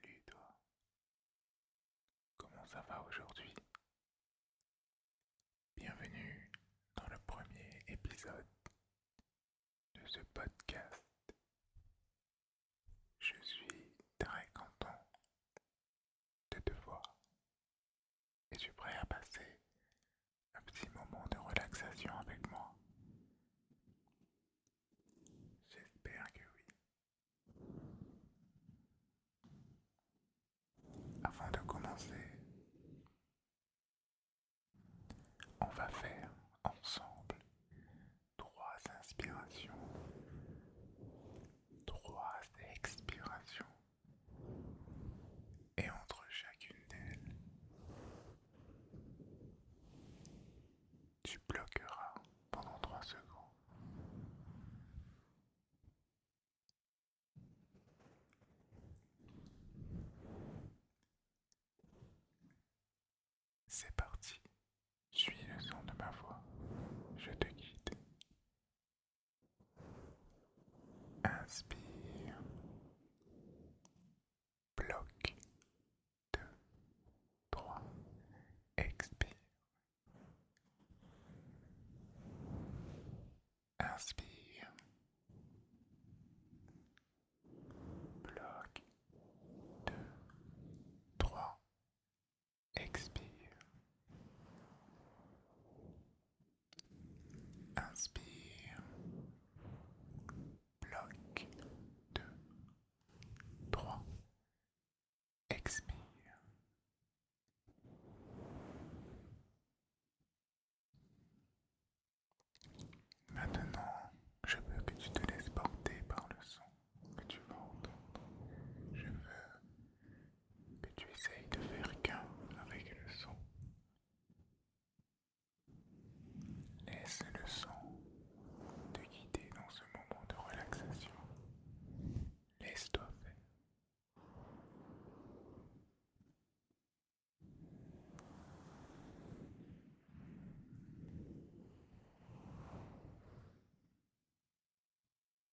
Salut toi Comment ça va aujourd'hui Bienvenue dans le premier épisode de ce podcast. Je suis très content de te voir es-tu prêt à passer un petit moment de relaxation avec moi J'espère que oui. Avant de commencer, on va faire ensemble trois inspirations, trois expirations et entre chacune d'elles, tu bloqueras pendant trois secondes. C'est parti, suis le son de ma voix, je te guide. Inspire. Bloc. deux, trois, Expire. Inspire. Bloc. deux, trois, Expire. Inspire. Bloc. 2. 3. Expire. Maintenant, je veux que tu te laisses porter par le son que tu vas entendre. Je veux que tu essayes de faire qu'un avec le son. Laisse le son te guider dans ce moment de relaxation. Laisse-toi faire.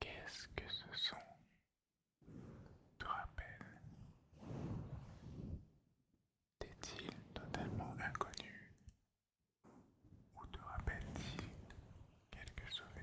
Qu'est-ce que ce son te rappelle T'est-il totalement inconnu ou te rappelle-t-il quelques souvenirs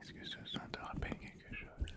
Est-ce que ce son te quelque chose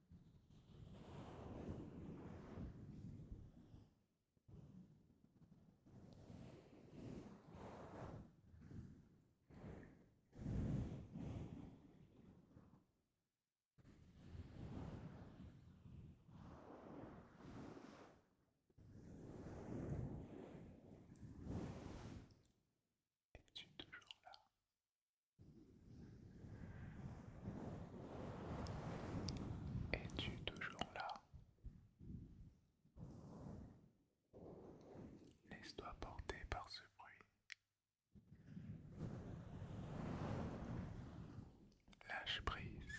Es-tu toujours là es-tu toujours là Laisse-toi porter par ce bruit. Lâche prise.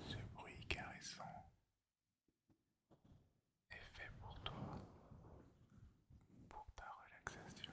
Ce bruit caressant est fait pour toi, pour ta relaxation.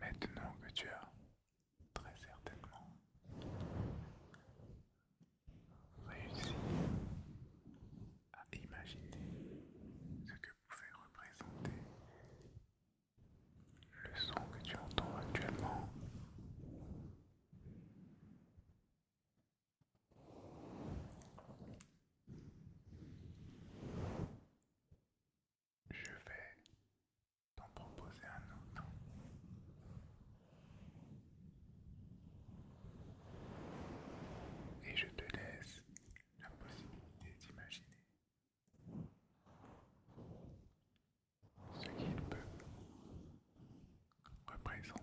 Maintenant que tu as très certainement Réussis à imaginer ce que pouvait représenter le son que tu entends actuellement. Je vais t'en proposer un autre. Et je te laisse la possibilité d'imaginer ce qu'il peut représenter.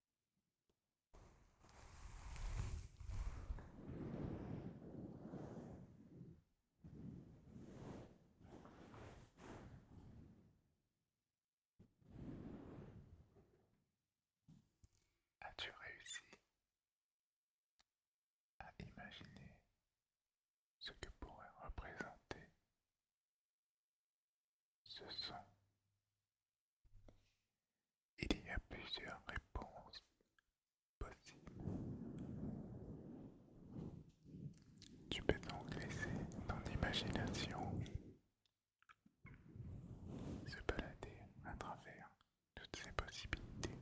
As-tu réussi à imaginer ce que pourrait représenter ce sont. Il y a plusieurs réponses possibles. Tu peux donc laisser ton imagination se balader à travers toutes ces possibilités.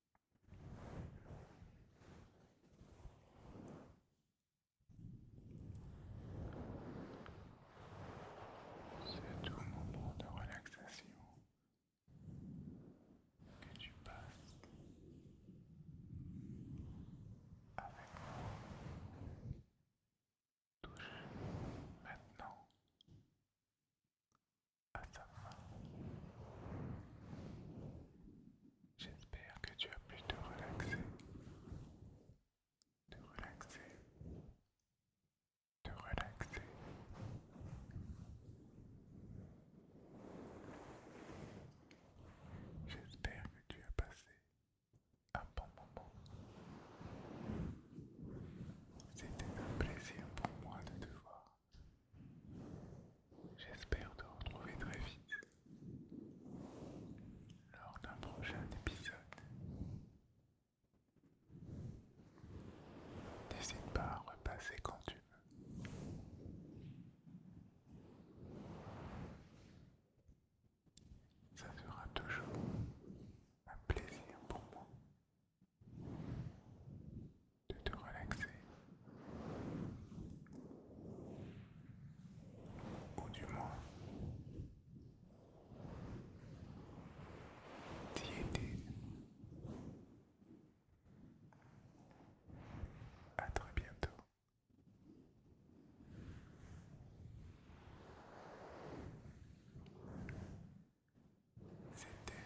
C'est tout moment de relaxation que tu passes avec moi. Touche maintenant à sa fin. J'espère que tu as pu te relaxer, te relaxer, te relaxer. J'espère que tu as passé un bon moment. C'était un plaisir pour moi de te voir. J'espère te retrouver très vite lors d'un prochain épisode. N'hésite pas à repasser quand tu veux. Ça sera toujours un plaisir pour moi de te relaxer, ou du moins d'y aider. À très bientôt. C'était